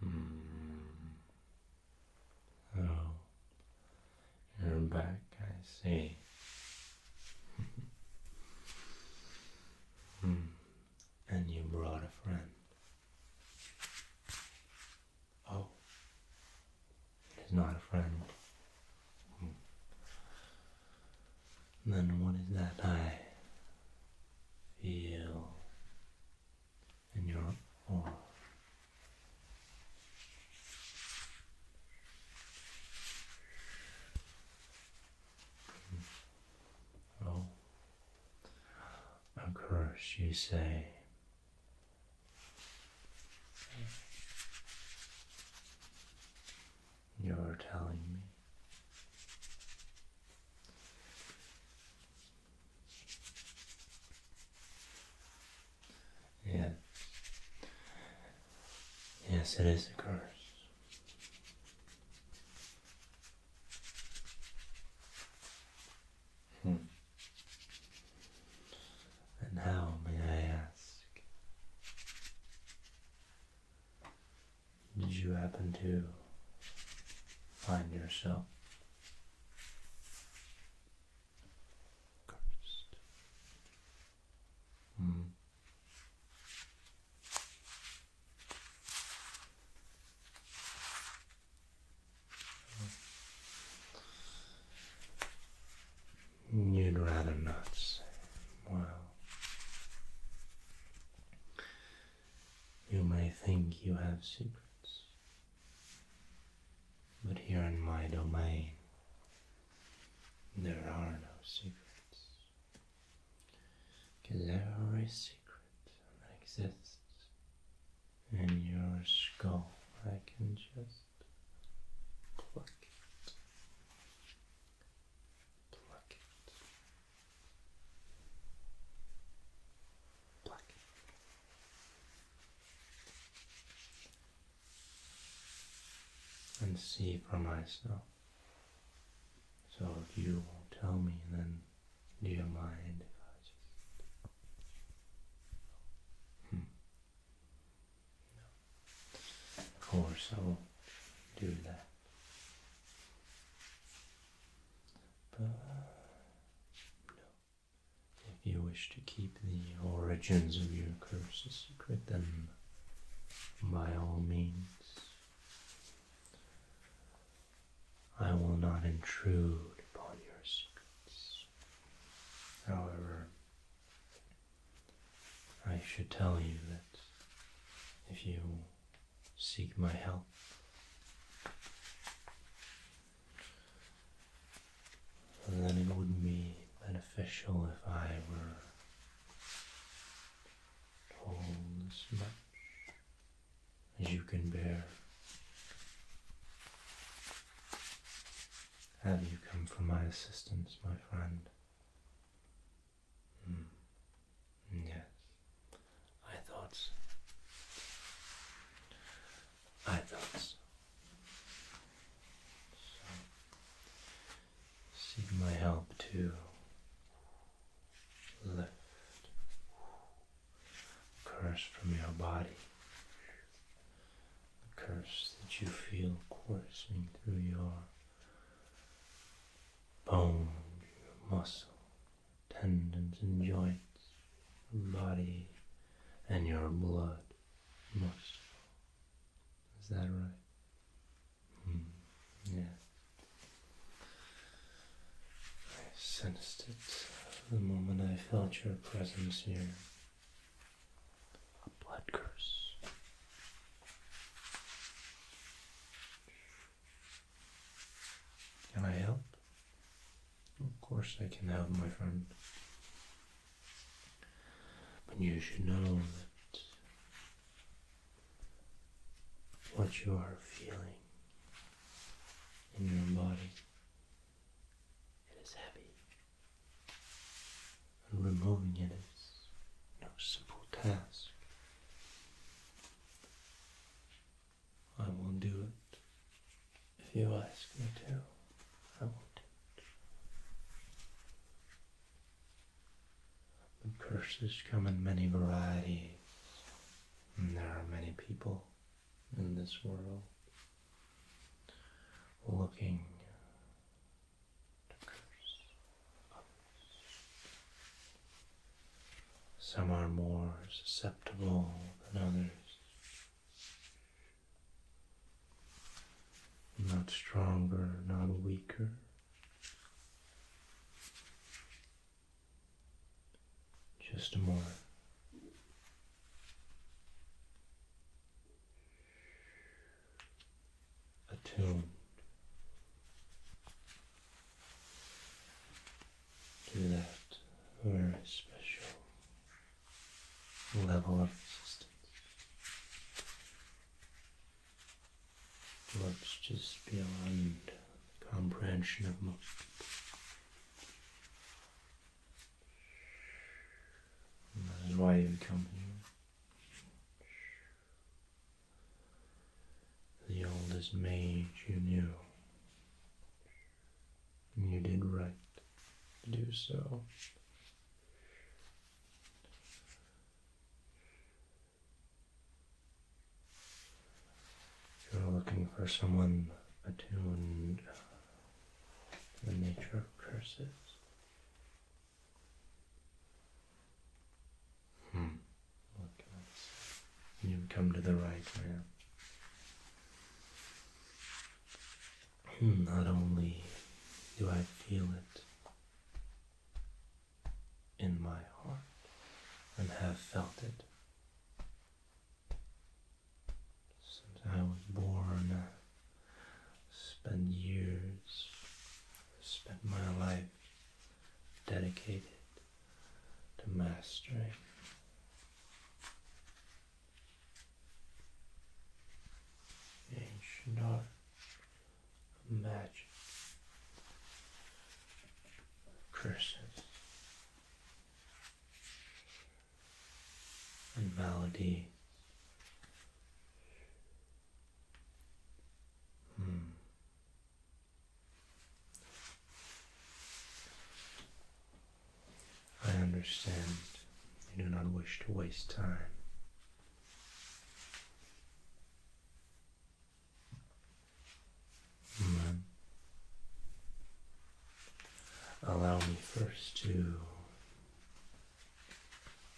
Hmm. Oh, you're back, I see. Hmm. And you brought a friend. Oh, it's not a friend. Hmm. Then what is that I feel? and you're off. Oh. Well, of course, you say. You're telling me yeah. Yes, it is a curse. Hmm. And how may I ask? Did you happen to find yourself Cursed. Mm. You'd rather not well, you may think you have secrets, but here in my domain, there are no secrets. Because every secret that exists in your skull, I can just pluck it. Pluck it. And see for myself. So you will tell me, then do you mind hmm. Of course, I will do that but no. If you wish to keep the origins of your curse a secret, then by all means, I will not intrude upon your secrets. However, I should tell you that if you seek my help. then it would be beneficial if I were told as much as you can bear. Have you come for my assistance, my friend? Hmm. Yes. I thought. I thought. seek my help to lift the curse from your body. The curse that you feel coursing through your bone, your muscle, tendons and joints, your body and your blood muscle. Is that right? Mm. Yeah. I sensed it the moment I felt your presence here. A blood curse. Can I help? Of course I can help, my friend. But you should know that what you are feeling in your body, it is heavy. And removing it is no simple task. I will do it. If you ask me to, I will it. But curses come in many varieties, and there are many people in this world looking to curse some are more susceptible than others. Not stronger, not weaker. Just more attuned to that very special level of resistance. What's just beyond comprehension of most And that is why you come here. The oldest mage you knew you did right to do so. You're looking for someone attuned to the nature of curses. Hmm. You've come to the right man. Hmm, not only do I feel it in my heart and have felt it since I was born. spend years, spend my life dedicated to mastering. Ancient art magic curses and malady. Hmm. I understand you do not wish to waste time. Mm. Allow me first to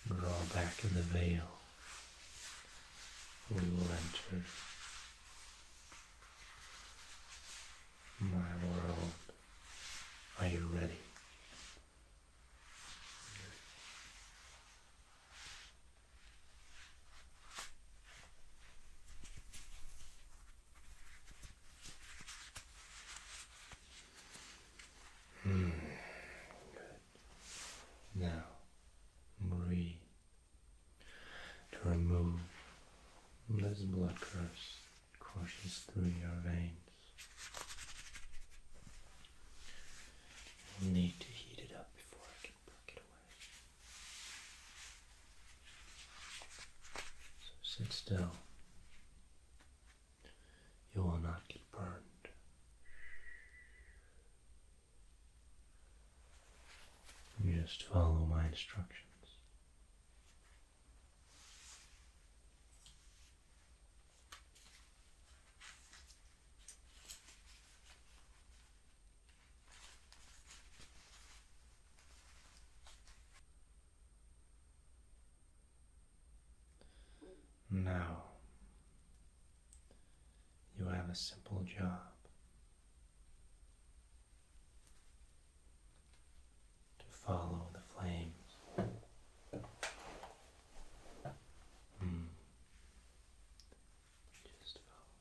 draw back the veil. We will enter my world, are you ready? Mm. Good. Now breathe to remove this those blockers courses through your veins. you need to heat it up before I can pluck it away. So sit still. You will not get burned. You just follow my instructions. Now you have a simple job to follow the flames. Mm. Just follow.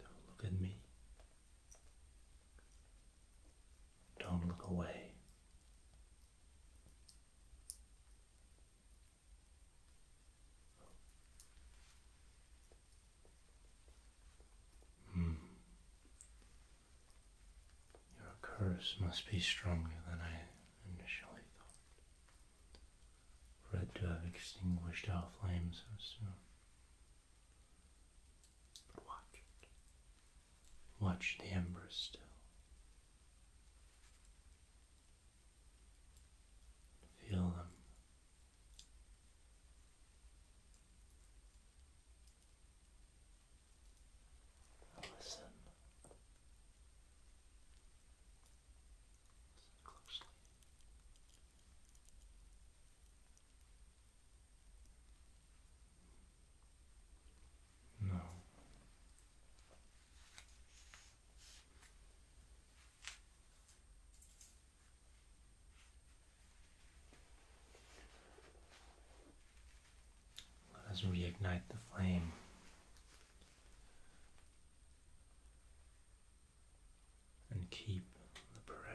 Don't look at me. Don't look away. Hmm. Your curse must be stronger than I initially thought, for it to have extinguished our flame so soon. But watch it. Watch the embers still. Feel them. Listen. closely. No. Let us reignite the flame. And keep the pressure.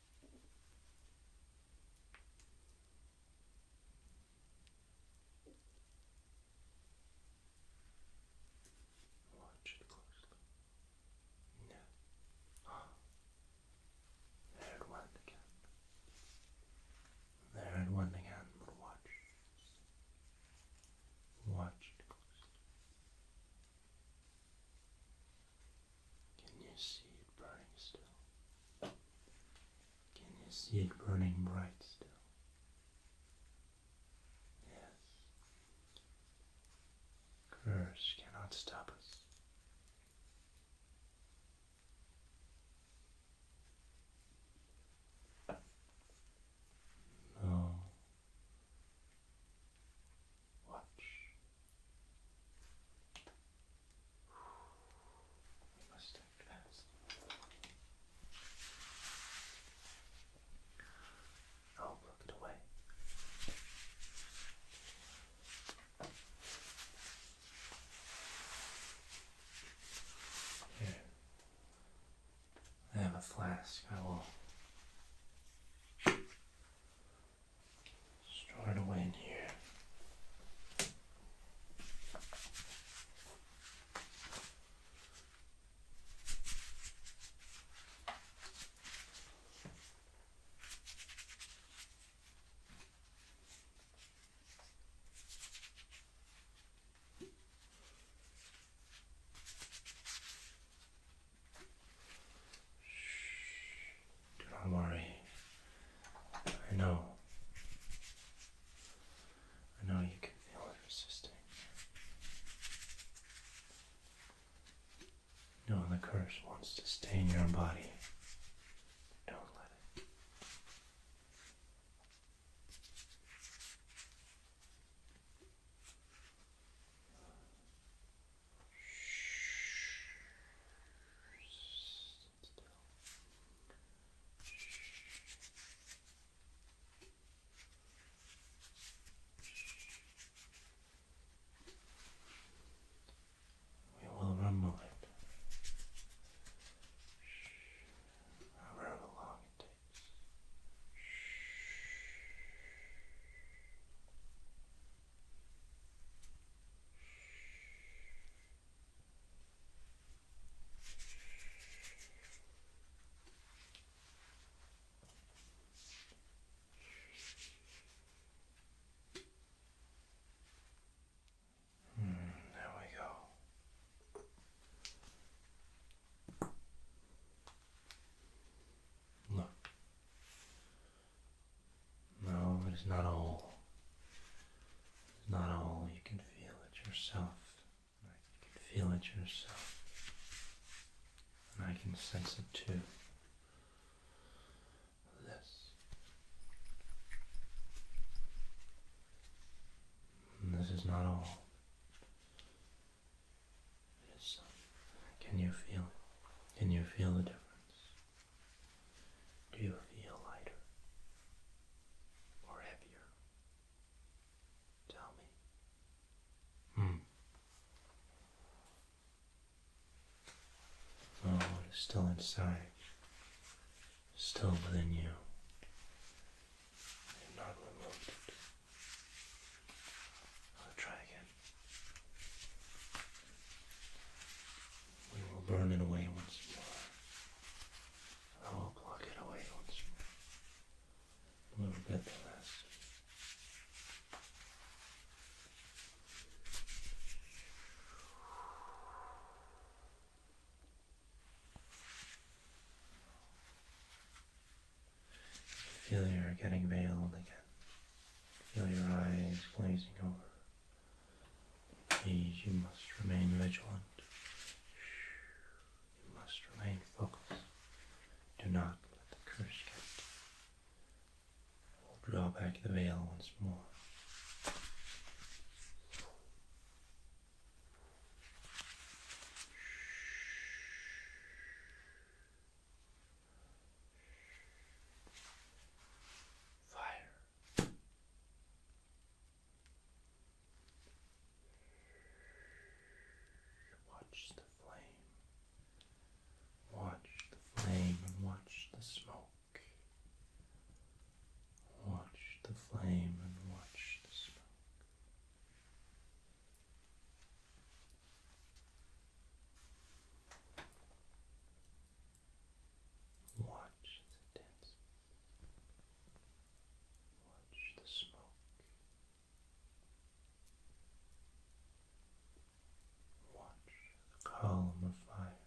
Watch it closely. No. Oh. There it went again. There it went again, watch. Watch closely. Can you see it burning still? Can you see it burning bright still? Yes. Curse cannot stop us. No. Watch must act fast. I'll block it away. Here. I have a flask. I will Store it away in here. Shh. Do not worry. I know. I know you can feel it resisting. No, the curse wants to stay in your body. Don't let it. Shh. We will rumble it however long it takes. Mm, there we go. Look, no, it is not all. It's not all. You can feel it yourself. You can feel it yourself. And I can sense it too. This. this is not all. Can you feel Can you feel the difference? Do you feel lighter or heavier? Tell me. Hmm. Oh, what is still inside, still within you. not removed I'll try again. We will burn it away once more. I will pluck it away once more. We will get the Feel you're getting veiled again. Feel your eyes glazing over. Please, you must remain vigilant. You must remain focused. Do not let the curse get you. We'll draw back the veil once more. Fire. Watch the flame. Watch the flame and watch the smoke. Watch the flame and watch the smoke. Watch the dance. Watch the smoke. Watch the column of fire.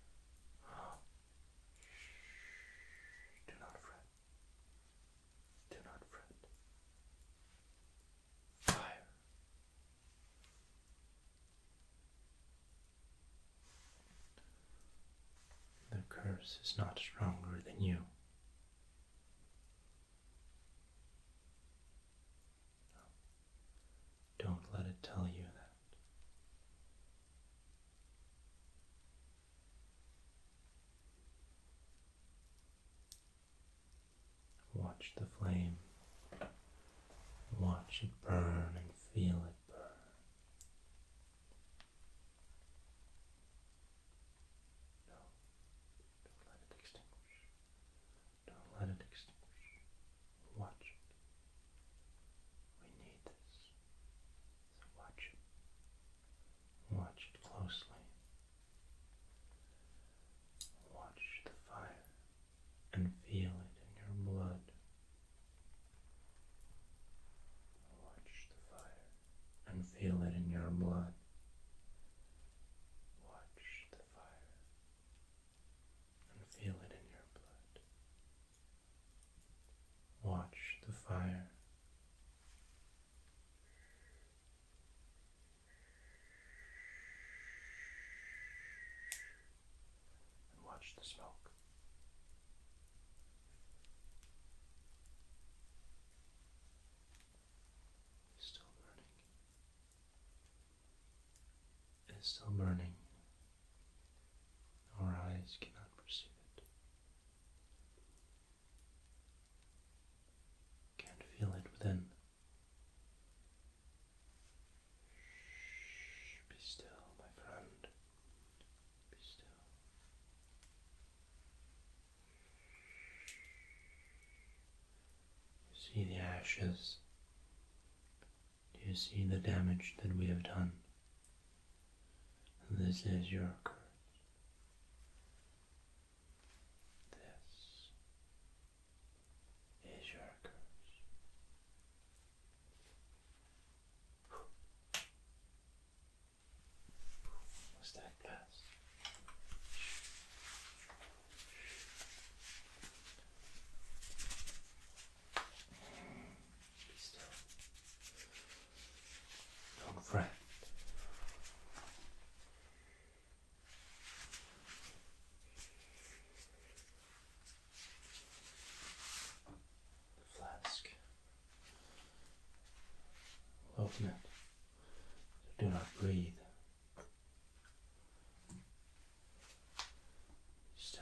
Do not fret. Do not fret. Fire. The curse is not stronger than you. Don't let it tell you that. Watch the flame. Watch it burn and feel it burn. No. Don't let it extinguish. Don't let it extinguish. Watch it. We need this. watch Watch closely. Watch the fire and feel it in your blood Watch the fire and feel it in your blood. Watch the fire and feel it in your blood. Watch the fire and watch the smoke. It's still burning. It's still burning. Our eyes cannot perceive it. Can't feel it within. Shh, be still, my friend see the ashes. Do you see the damage that we have done? This is your curse. This is your curse. What's that glass? Be still. Don't fret the flask. Open it. Do not breathe. Still.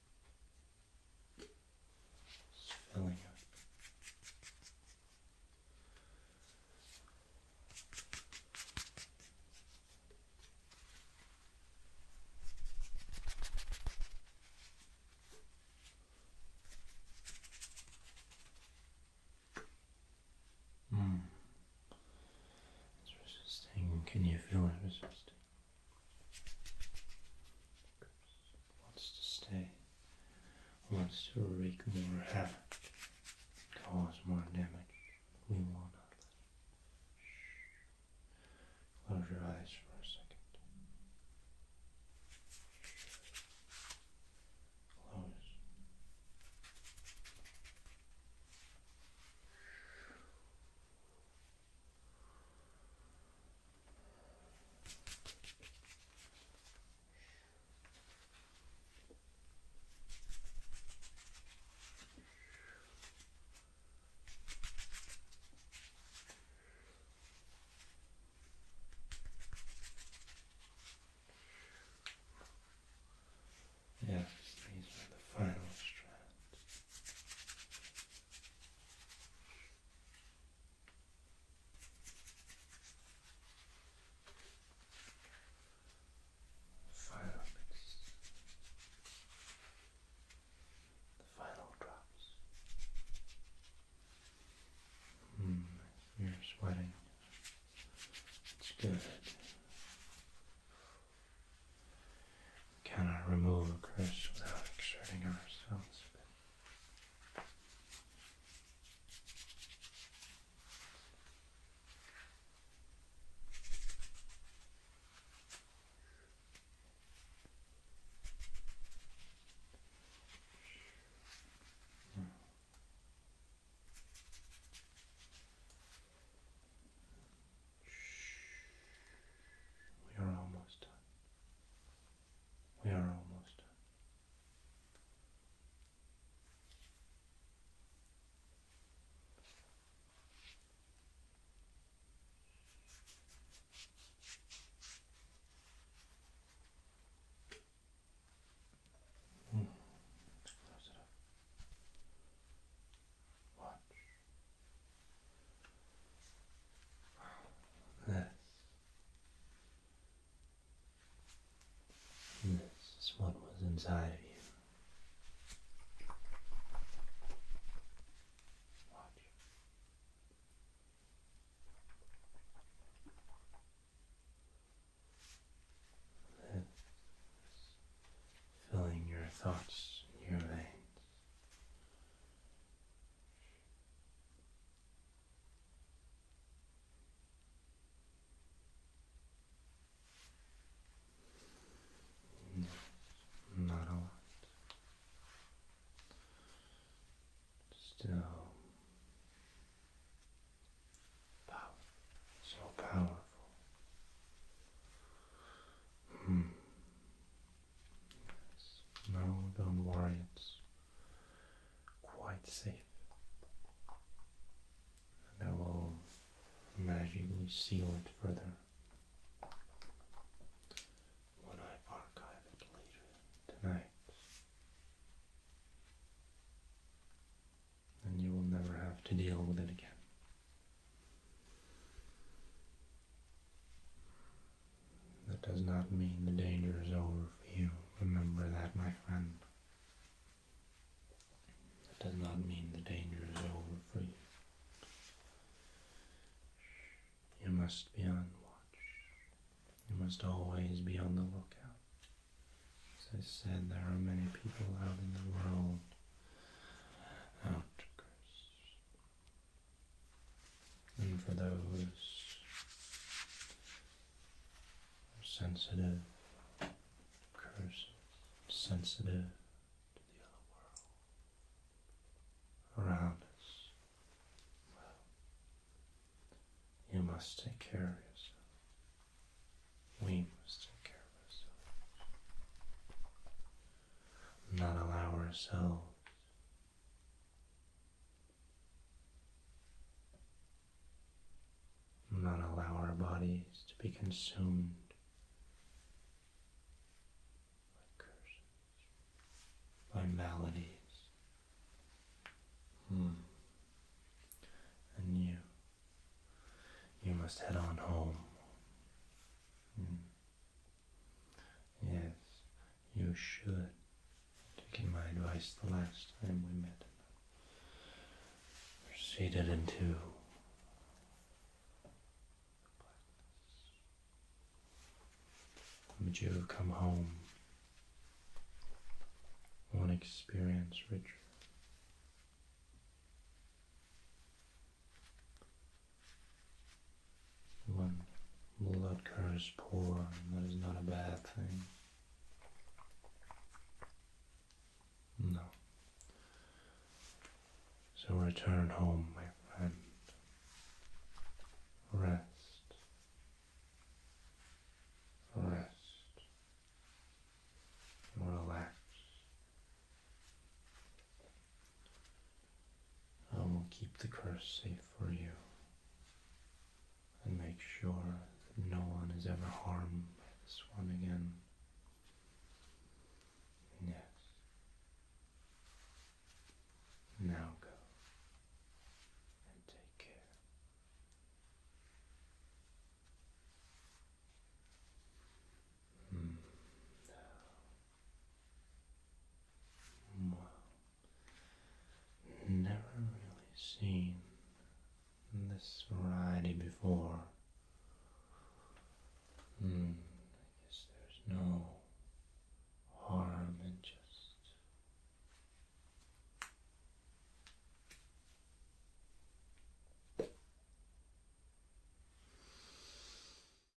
Hmm. It's filling up. Mm. It's Can you feel it resisting? wants to stay, wants to wreak more havoc, cause more damage. We will not let him. Close your eyes for a second. Close. Yes, these are the final strands. Five minutes. The final drops. Mm, you're sweating. It's good. We cannot remove a curse without exerting ourselves we are almost done. We are almost done. Mm. Close it up. Watch. This. this is what was inside of you. Watch. This filling your thoughts in your veins not a lot. Still power so powerful. Mm. No, don't worry, it's quite safe. And I will magically seal it further when I archive it later tonight. And you will never have to deal with it again. That does not mean the danger is over for you. Remember that, my friend. That does not mean the danger is over for you. You must be on watch. You must always be on the lookout. As I said, there are many people out in the world out to curse, and for those sensitive, curses, sensitive to the other world around us. Well, you must take care of yourself. We must take care of ourselves not allow ourselves not allow our bodies to be consumed by curses, by maladies. Hmm. And you, you must head on home. Hmm. Yes, you should. Taking my advice the last time we met, proceeded into blackness. Would you come home? One experience Richard when blood curves poor, that is not a bad thing. No. So return home, my friend. Rest. Rest. Relax. I will keep the curse safe for you and make sure that no one is ever harmed by this one again. Yes. Now go and take care. Mm. Wow. Never really seen this variety before. Mm. I guess there's no harm in just